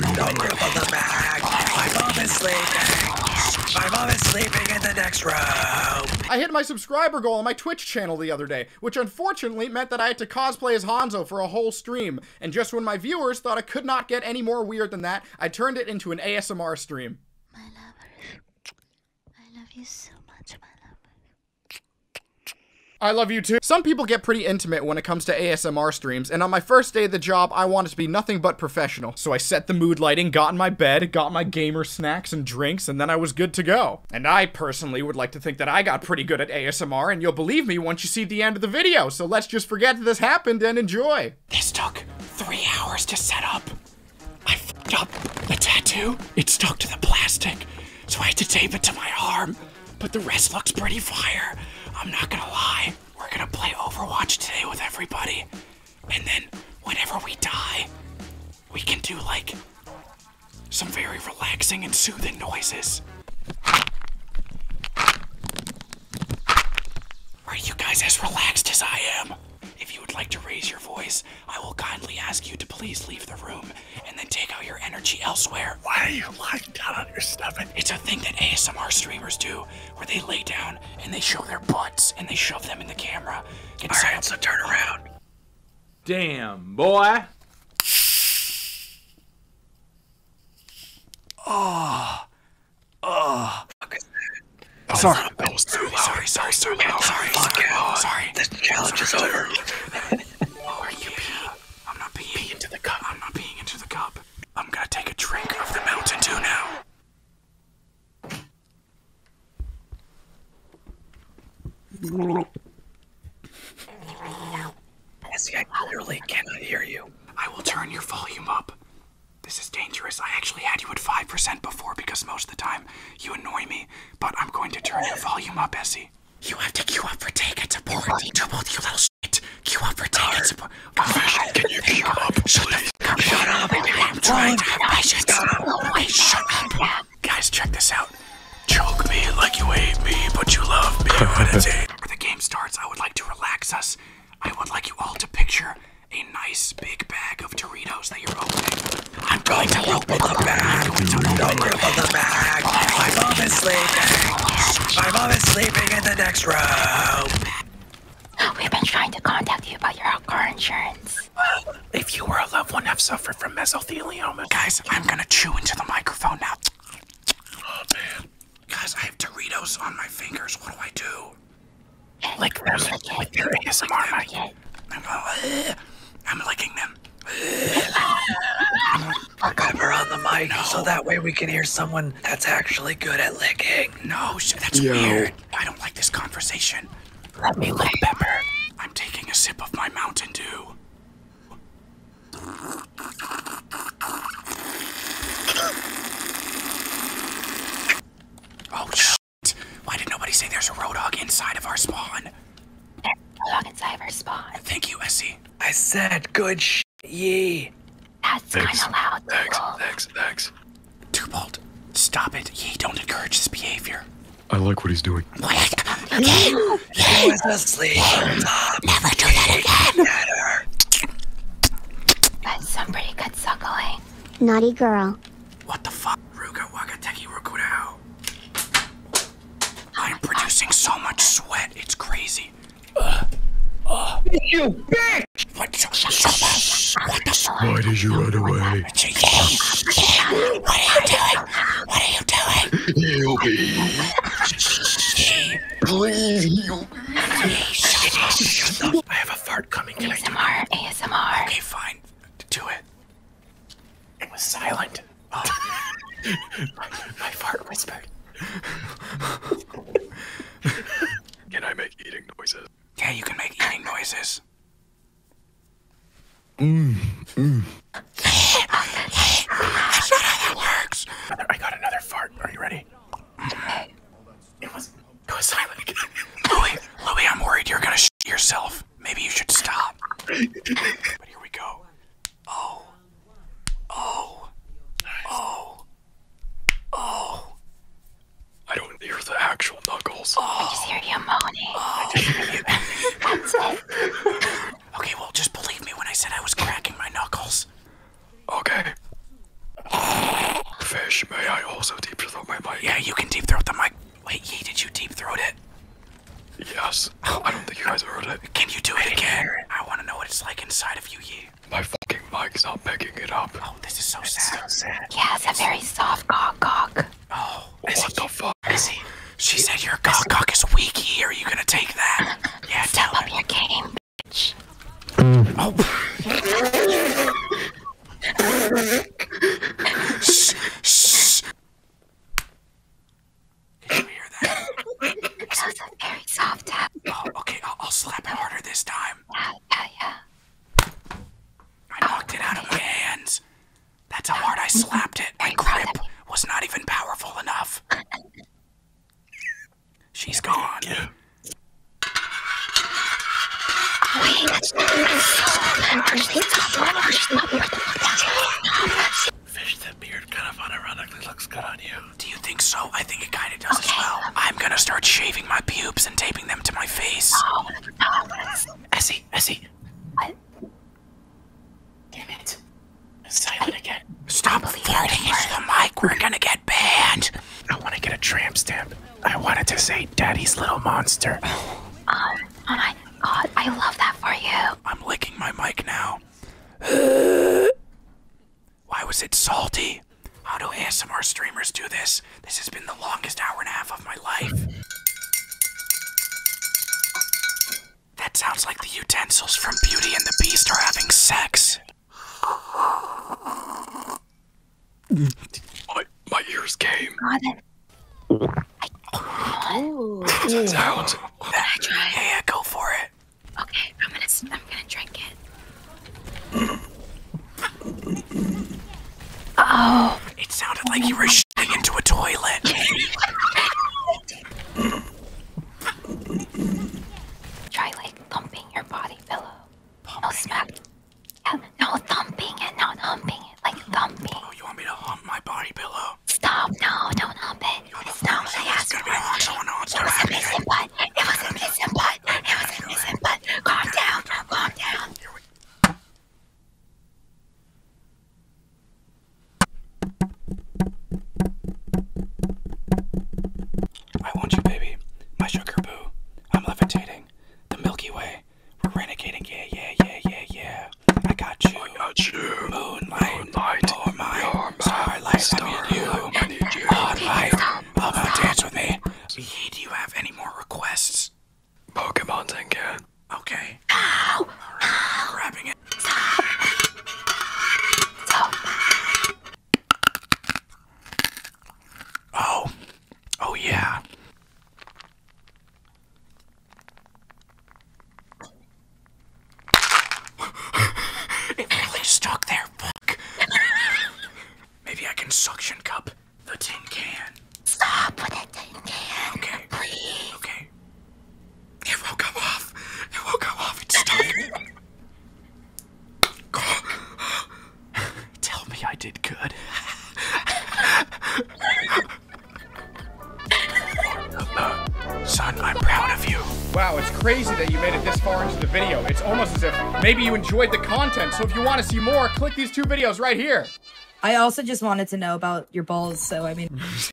Don't cripple the bag. My mom is sleeping. My mom is sleeping in the next room. I hit my subscriber goal on my Twitch channel the other day, which unfortunately meant that I had to cosplay as Hanzo for a whole stream. And just when my viewers thought I could not get any more weird than that, I turned it into an ASMR stream. My lover, I love you so much, my I love you too. Some people get pretty intimate when it comes to ASMR streams, and on my first first day of the job, I wanted to be nothing but professional. So I set the mood lighting, got in my bed, got my gamer snacks and drinks, and then I was good to go. And I personally would like to think that I got pretty good at ASMR, and you'll believe me once you see the end of the video. So let's just forget this happened and enjoy. This took three hours to set up. I fucked up the tattoo. It stuck to the plastic, so I had to tape it to my arm but the rest looks pretty fire. I'm not gonna lie. We're gonna play Overwatch today with everybody. And then whenever we die, we can do like some very relaxing and soothing noises. Are you guys as relaxed as I am? If you would like to raise your voice, I will kindly ask you to please leave the room and then take out your energy elsewhere. Why are you lying down on your stomach? It's a thing that ASMR streamers do where they lay down and they show their butts and they shove them in the camera. All right, up. so turn around. Damn, boy. Oh. ah. Oh, sorry. Sorry, sorry, sorry, sorry, sorry, sorry, sorry. challenge is over. I'm not peeing. into the cup. I'm not peeing into the cup. I'm gonna take a drink of the Mountain Dew now. Jesse, I clearly cannot hear you. I will turn your volume up. This is dangerous. I actually had you at 5% before because most of the time you annoy me, but I'm going to turn your volume up, Essie. You have to queue up for take and support. To both you little shit. Queue up for take and support. Confession, can you queue up, Shut please? The fuck up. Shut up. I'm trying to have patience. Wait, shut up. Guys, check this out. Choke me like you hate me, but you love me. Before the game starts, I would like to relax us. I would like you all to picture a nice big bag of Doritos that you're opening. I'm going to open the bag. going to open the bag. My mom is sleeping. My mom is sleeping in the next room. We've been trying to contact you about your car insurance. If you or a loved one i have suffered from mesothelioma, guys, I'm gonna chew into the microphone now. Oh man, guys, I have Doritos on my fingers. What do I do? Lick them. Lick their I'm licking them. Fuck on the mic so that way we can hear someone that's actually good at licking. No, that's weird. I don't like this conversation. Let me lick pepper. I'm taking a sip of my Mountain Dew. Oh, shit. Why did nobody say there's a Roadhog inside of our spawn? There's a Roadhog inside of our spawn. Thank you, Essie. I said good sh. Yee. That's kind of loud. Thanks, people. thanks, thanks. Tubalt, stop it. Yee, don't encourage this behavior. I like what he's doing. What? Yee! Yee! Honestly, never do that again. Better. That's some pretty good suckling. Naughty girl. What the fuck? Ruga Wagateki Rukudao. I'm producing so much sweat, it's crazy. Uh, uh. You bitch! What, so, so, what the fuck? Why did you run away? What are you doing? What are you doing? Yubi. Please, Yubi. I have a fart coming. Can ASMR, I do it? ASMR. Okay, fine. Do it. It was silent. Oh. my, fart whispered. can I make eating noises? Yeah, you can make eating noises. Mm, mm. That's not how that works. I got another fart. Are you ready? Mm-hmm. It was. It silent again. Louis, Louis, I'm worried you're gonna shit yourself. Maybe you should stop. but here we go. Oh. Oh. Oh. Oh. I don't hear the actual knuckles. Oh. I just hear you moaning. Oh. okay, well, just believe me when I said I was cracking my knuckles. Okay. Fish, may I also deep throat my mic? Yeah, you can deep throat the mic. Wait, Yee, did you deep throat it? Yes. I don't think you guys heard it. Can you do it again? I want to know what it's like inside of you, Yee. My fucking mic's not picking it up. Oh, this is so sad. so sad. Yeah, it's a very soft cock cock. Oh, what Izzy, the fuck? Izzy, she said your cock cock is weak, Yee. Are you going to take that? Yeah, tell up you're game, bitch. oh. shh, shh. Did you hear that? very soft Oh, okay. I'll, slap it harder this time. I knocked it out of my hands. That's how hard I slapped it. My grip was not even powerful enough. She's gone. Yeah. Fish that beard kind of unironically looks good on you. Do you think so? I think it kind of does as well. I'm gonna start shaving my pubes and taping them to my face. No, oh, no. Essie, Essie. What? Damn it. It's silent again. Stop farting into the mic. We're gonna get banned. I want to get a tramp stamp. I wanted to say Daddy's Little Monster. Oh, oh, my god, I love that for you. I'm licking my mic now. Why was it salty? How do ASMR streamers do this? This has been the longest hour and a half of my life. That sounds like the utensils from Beauty and the Beast are having sex. My, ears came. Oh. That sounds. I try. Yeah, go for it. Okay, I'm gonna I'm gonna drink it. Oh. It sounded like you were shitting into a toilet. try like thump your body pillow. Pumping no smack. Yeah, no thumping and not humping it. Like thumping. Oh, you want me to hump my body pillow? Stop. No, don't hump it. It's not what I asked for. It was a missing butt. It was a missing butt. It was a missing butt. Calm down. Calm down. I want you, baby, my sugar boo. I'm levitating, the Milky Way. We're renegading, yeah, yeah, yeah, yeah, yeah. I got you, I got you. Moonlight, you're mine. Starlight, I need you. I need you. dance with me. Do you have any more requests? Pokemon again. Okay. Ow! All right. Ow. Grabbing Oh. Oh yeah. it really stuck there, fuck. Maybe I can suction cup the tin can. Stop with the tin can. Okay. Okay. It will go off. It will go off. It's done. Tell me I did good. Son, I'm proud of you. Wow, it's crazy that you made it this far into the video. It's almost as if maybe you enjoyed the content. So if you want to see more, click these two videos right here. I also just wanted to know about your balls, so I mean.